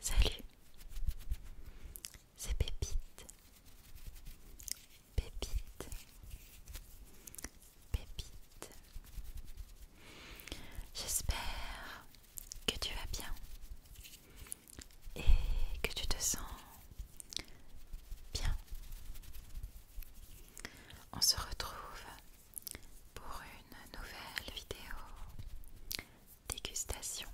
Salut, c'est Pépite, Pépite, Pépite. J'espère que tu vas bien et que tu te sens bien. On se retrouve pour une nouvelle vidéo dégustation.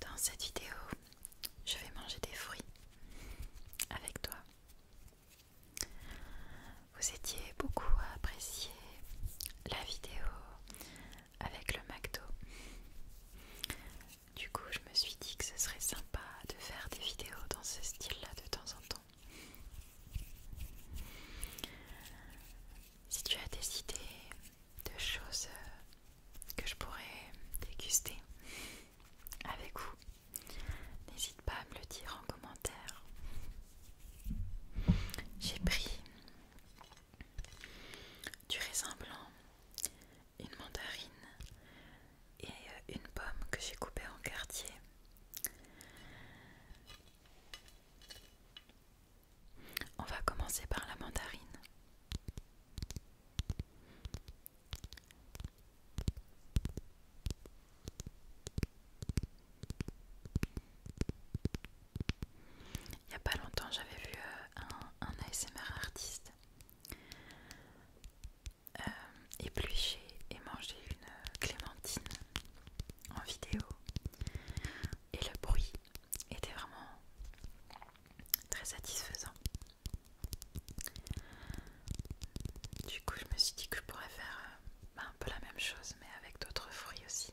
Dans cette vidéo, je vais manger des fruits avec toi. Vous étiez beaucoup à apprécier la vidéo avec le McDo. Du coup, je me suis dit que ce serait sympa de faire des vidéos dans ce style-là de temps en temps. Si tu as des idées de choses que je pourrais déguster avec vous, n'hésite pas à me le dire en commentaire. J'ai pris du raisin blanc, une mandarine, et euh, une pomme que j'ai coupée en quartier. On va commencer par la mandarine. Il n'y a pas longtemps, j'avais vu euh, un, ASMR artiste euh, éplucher et manger une euh, clémentine en vidéo et le bruit était vraiment très satisfaisant. Du coup, je me suis dit que je pourrais faire euh, bah, un peu la même chose mais avec d'autres fruits aussi.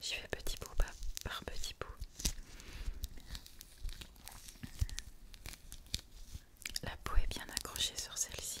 Je fais petit bout par petit bout. La peau est bien accrochée sur celle-ci.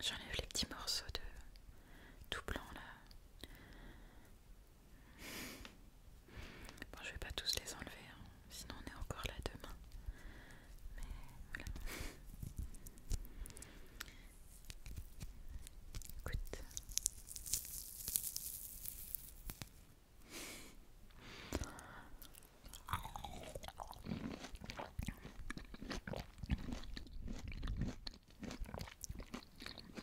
J'enlève les petits morceaux de tout blanc là. Bon, je vais pas tous les enlever, hein. sinon on est encore là demain. Mais Écoute.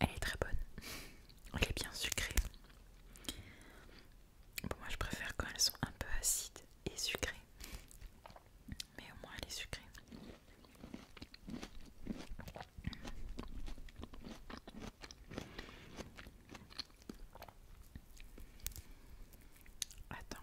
Elle est très bonne. Elle est bien sucrée. Bon, moi je préfère quand elles sont un peu acides et sucrées mais au moins elle est sucrée. Attends.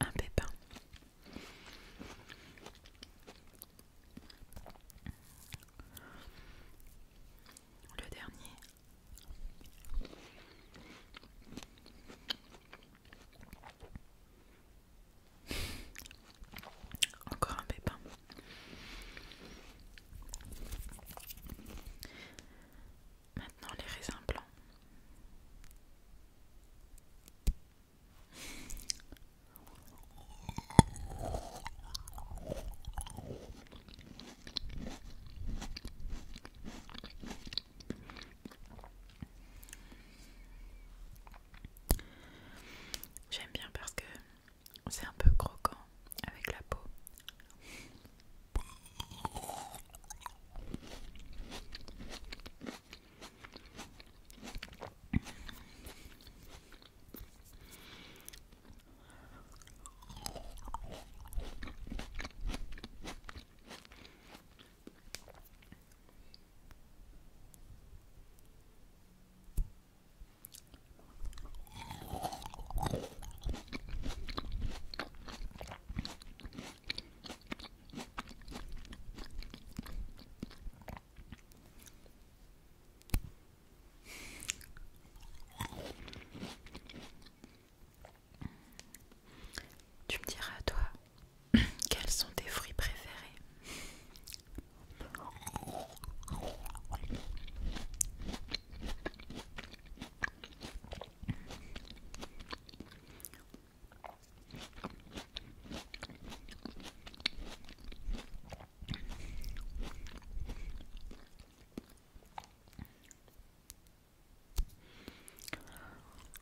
Un pépin. Le dernier. Encore un pépin. Maintenant les raisins blancs. J'aime bien parce que c'est un peu croquant avec la peau. Tu me diras, toi, quels sont tes fruits préférés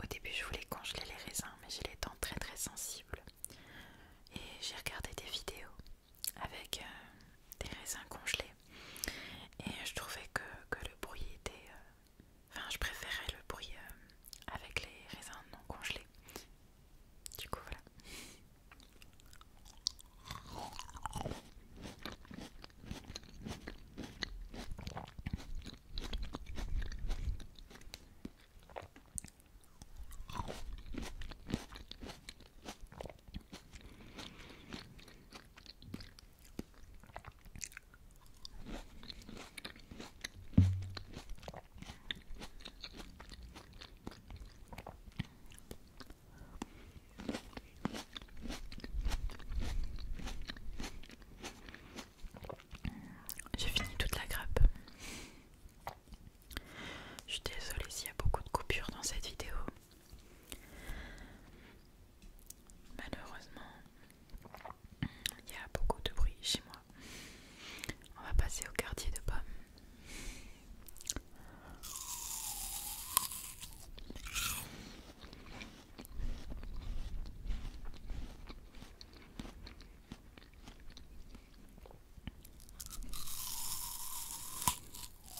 Au début, je voulais congeler les raisins, mais j'ai les dents très très sensibles. Et j'ai regardé des vidéos avec euh, des raisins congelés et je trouvais que, le bruit était... Euh, enfin je préférais le bruit euh, avec les raisins non congelés. Du coup voilà. J'ai fini toute la grappe. Je suis désolée s'il y a beaucoup de coupures dans cette vidéo. Malheureusement, il y a beaucoup de bruit chez moi. On va passer au quartier de pommes.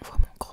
On voit mon gros.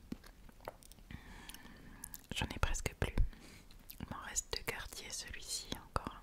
J'en ai presque plus. Il m'en reste deux quartiers, celui-ci encore.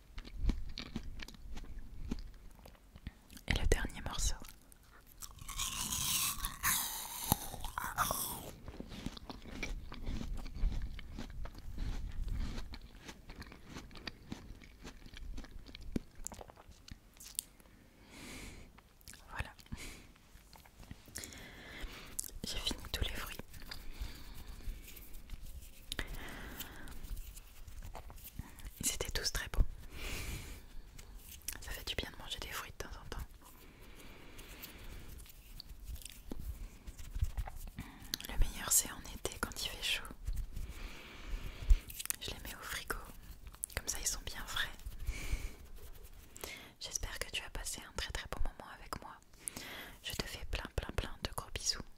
Et le dernier morceau. Voilà. J'ai fini tous les fruits. Ils étaient tous très beaux. Ça fait du bien de manger des fruits de temps en temps. Le meilleur c'est en été quand il fait chaud. Je les mets au frigo, comme ça ils sont bien frais. J'espère que tu as passé un très très bon moment avec moi. Je te fais plein plein plein de gros bisous.